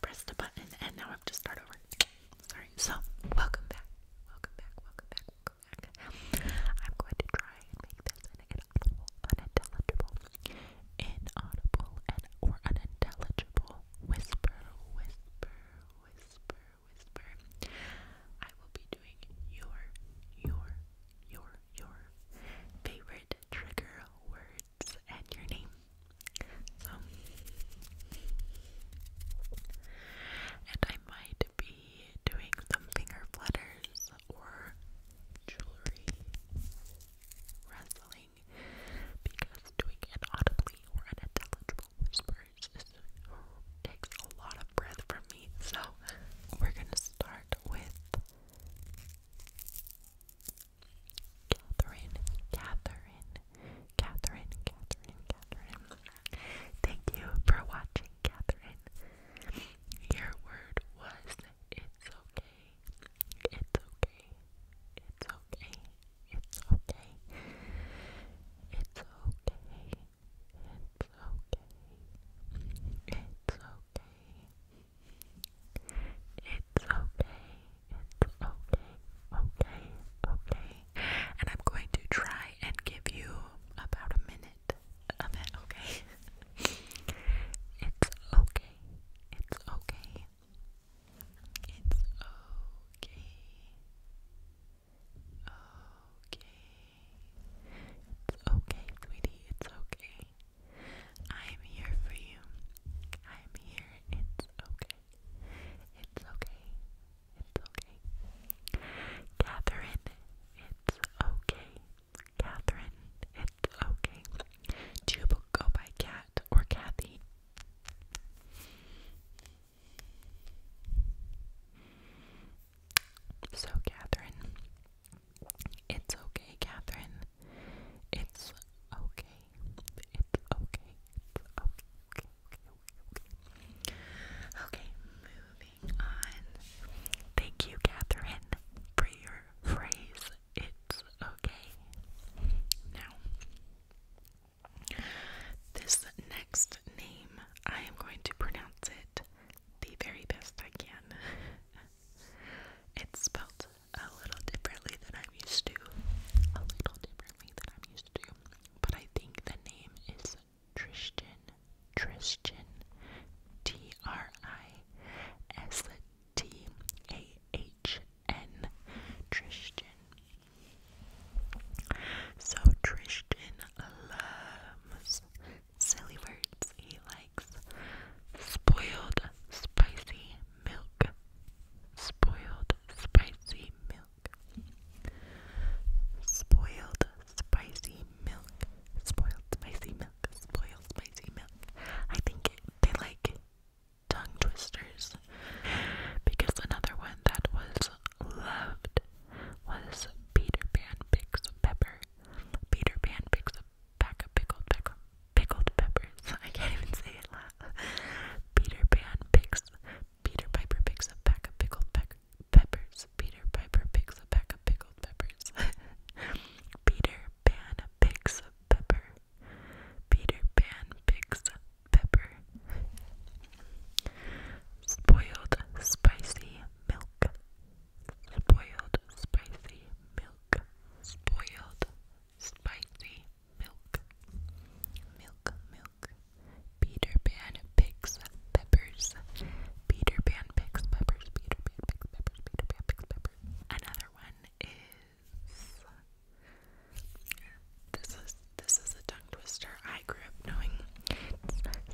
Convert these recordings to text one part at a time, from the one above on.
Press the button and now I have to start over. Sorry. So, welcome back. Welcome back, welcome back, welcome back. I'm going to try and make this unintelligible, inaudible, and or unintelligible whisper, whisper, whisper, whisper. I will be doing your, your, your, your favorite trigger word and your name. So, and I might be doing some finger flutters or jewelry wrestling because doing it audibly or unintelligible whispers is, takes a lot of breath from me. So, we're gonna start with Catherine, Catherine, Catherine, Catherine, Catherine. Thank you for watching, Catherine. Your word was it's okay. It's okay. It's okay. It's okay. It's okay. It's okay. It's okay. It's okay. It's okay. Okay. Okay. And I'm going to try and give you about a minute of it, okay? it's okay. It's okay. It's okay. Okay. It's okay, sweetie. It's okay. I am here for you. I am here. It's okay. It's okay. It's okay. Catherine, it's okay. Catherine, it's okay. Do you go by Cat or Kathy? So, Catherine, it's okay, Catherine. It's okay. It's okay. It's okay. Okay. Okay. Okay. Okay. Moving on. Thank you, Catherine, for your phrase. It's okay. Now, this next name, I am going to pronounce it the very best I can. it's spelled a little differently than I'm used to. A little differently than I'm used to. But I think the name is Tristan. Tristan. T R I S T A H N. Tristan. So Tristan loves silly words. He spoiled spicy milk. Spoiled spicy milk. Spoiled spicy milk. Spoiled spicy milk. Spoiled spicy milk. I think they like tongue twisters because another one that was loved was Peter Pan Picks Pepper. Peter Pan Picks pack of pickled pickled pickled peppers. I can't even say it loud. Peter Pan picks Peter Piper picks a pack of pickled peppers. Peter Piper picks a pack of pickled peppers. Peter Pan picks a pepper. Peter Pan picks a pepper. Spoiled spicy milk. Spoiled spicy milk. Spoiled spicy milk. Milk, milk. Peter Pan picks peppers. Peter Pan picks peppers. Peter Pan picks peppers. Peter Pan picks peppers. Another one is this is this is a tongue twister. I grew up knowing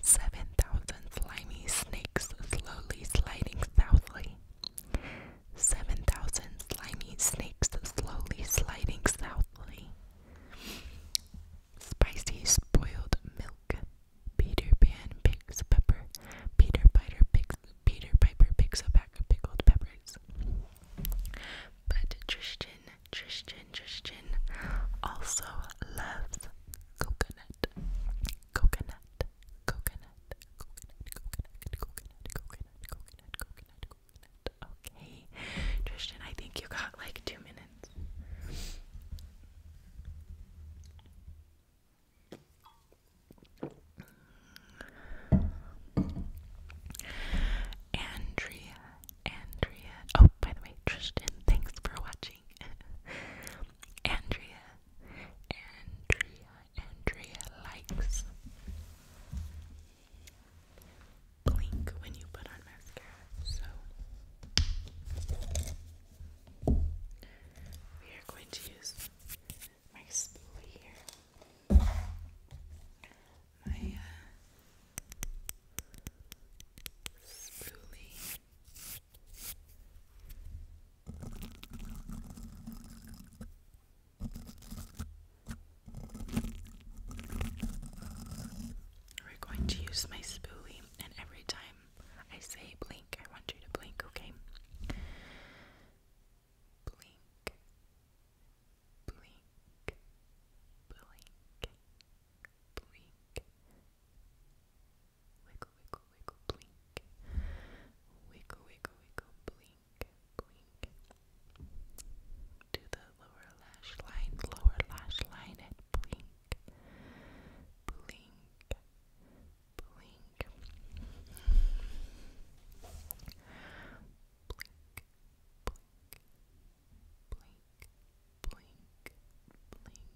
seven thousand slimy snakes slowly sliding southly. Seven thousand slimy snakes slowly sliding southly. Spicy spoiled milk. Peter Pan picks pepper. Peter Piper picks Peter Piper picks a pack of pickled peppers. But Tristan, Tristan, Tristan also loves coconut coconut, coconut, coconut, coconut, coconut, coconut, coconut, coconut, coconut. Okay, Tristan, I think you got like two minutes. Andrea, Andrea. Oh, by the way, Tristan, thanks for watching. Andrea, Andrea, Andrea likes. Blink when you put on mascara. So we are going to use my spoolie here. My uh, spoolie. We're going to use my spoolie, and every time I say blink, I want you to blink, okay? Blink, blink, blink, blink, Wiggle, wiggle, wiggle, blink. Wiggle, wiggle, wiggle, blink, blink. Do the lower lash line, lower lash line, and blink. Blink, blink. Blink, blink, blink, blink, blink.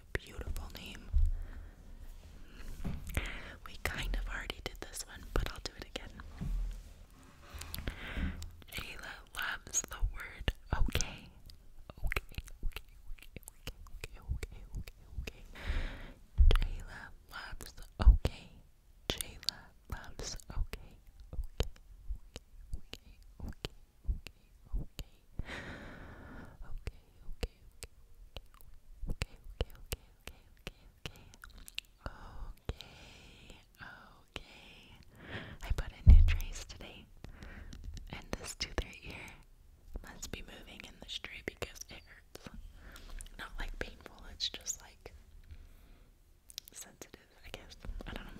that's a beautiful name. We kind of already did this one, but I'll do it again. Jayla loves the word okay. Okay, okay, okay, okay, okay, okay, okay, okay. Jayla loves okay. Jayla loves okay. Okay, okay, okay, okay, okay, okay, okay, okay, okay, okay, okay, okay, okay, okay, okay, okay, okay. I put in new trays today, and this tooth right here must be moving in this tray because it hurts. Not like painful, it's just like sensitive, I guess. I don't know.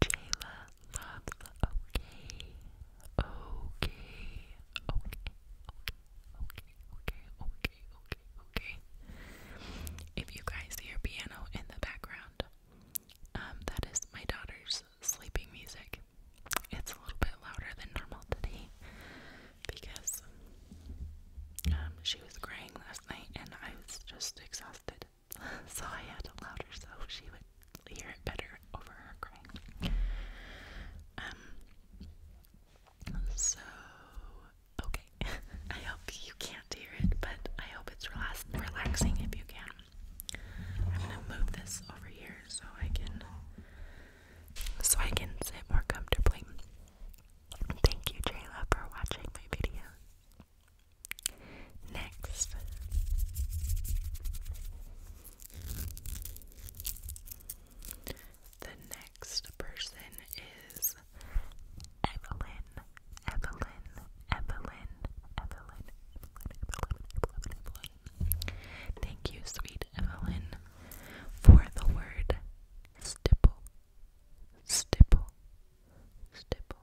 Jayla okay, okay, okay, okay, okay, okay, okay, okay, If you guys hear piano in the background, that is my daughter's sleeping music. It's a little bit louder than normal today because she was crying last night and I was just exhausted so I had it louder so she would hear it better over her crying. Um, so, okay. I hope you can't hear it, but I hope it's relax relaxing if you can. I'm gonna move this over here so I can so I can sit more comfortably. Thank you, Jayla, for watching my video. Next, the next person is Evelyn, Evelyn, Evelyn, Evelyn, Evelyn, Evelyn, Evelyn. Thank you, sweet Evelyn, for the word stipple, stipple, stipple,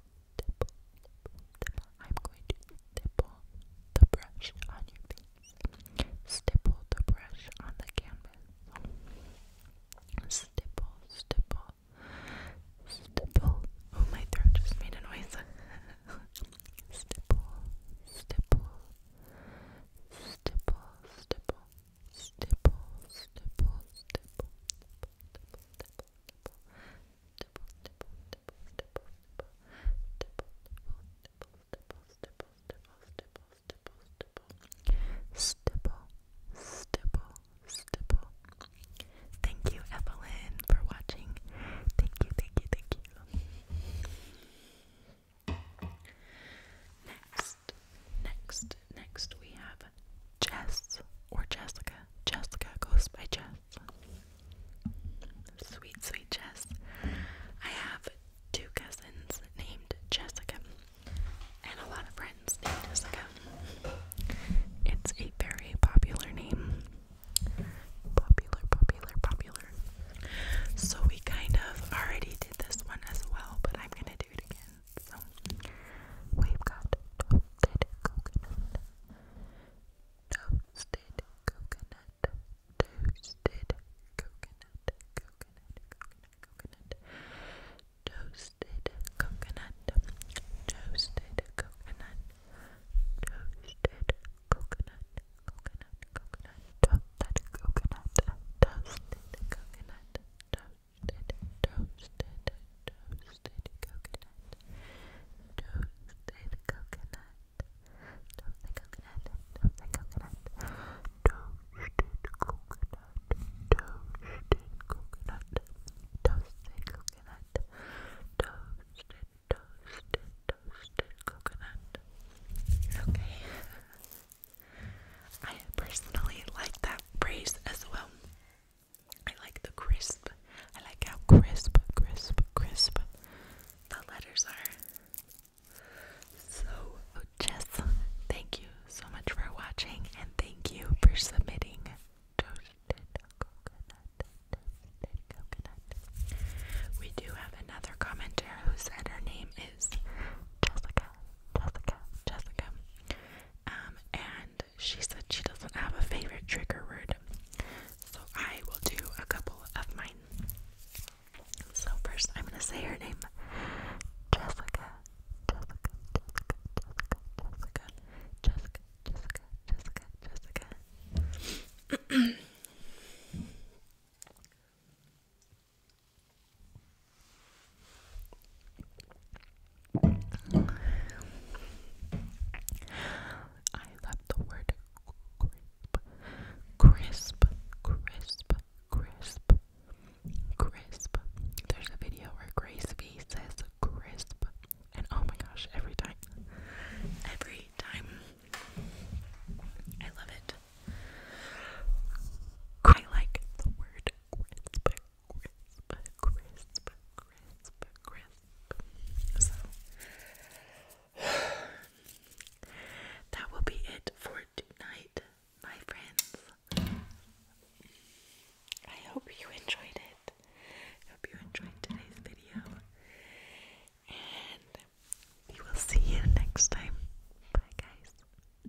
dipple, dipple. I'm going to stipple the brush on your face. Stipple the brush on the canvas. Stipple, stipple, stipple. Oh, my throat just made a noise. stipple, stipple, stipple, stipple, stipple, stipple, stipple stipple, stipple. Thank you, Evelyn, for watching. Thank you, thank you, thank you. Next next, next, we have Jess or Jessica. Jessica goes by Jess. Sweet, sweet Jess. I have two cousins named Jessica and a lot of friends named Jessica. It's a very popular name. Popular, popular, popular. So we kind of already did this one as well, but I'm gonna do it again we've got toasted coconut, toasted coconut, toasted coconut, coconut, coconut, coconut, toasted coconut, toasted coconut, toasted coconut, coconut, coconut, toasted coconut, toasted coconut, toasted toasted, toasted, toasted coconut, toasted coconut, toasted coconut, toasted coconut, toasted coconut, toasted coconut, toasted coconut, toasted, toasted, toasted coconut. Okay. I personally like that phrase as well. I like the crisp. I like how crisp, crisp, crisp the letters are. So, oh, Jess, thank you so much for watching and thank you for submitting toasted coconut. Toasted coconut. We do have another commenter who said her name is Jessica, Jessica, Jessica. Um, and she said she doesn't have a favorite trigger word. So I will do a couple of mine. So first I'm gonna say her name. Jessica. Jessica. Jessica. Jessica. Jessica. Jessica. Jessica. Jessica. Jessica. I love the word crisp, crisp, crisp, crisp, There's a video where Grace V says crisp, and oh my gosh, every time, every time, I love it. I like the word crisp, crisp, crisp, crisp, crisp. So that will be it for tonight, my friends. I hope you enjoyed it. I hope you enjoyed today's video. And we will see you next time. Bye, guys.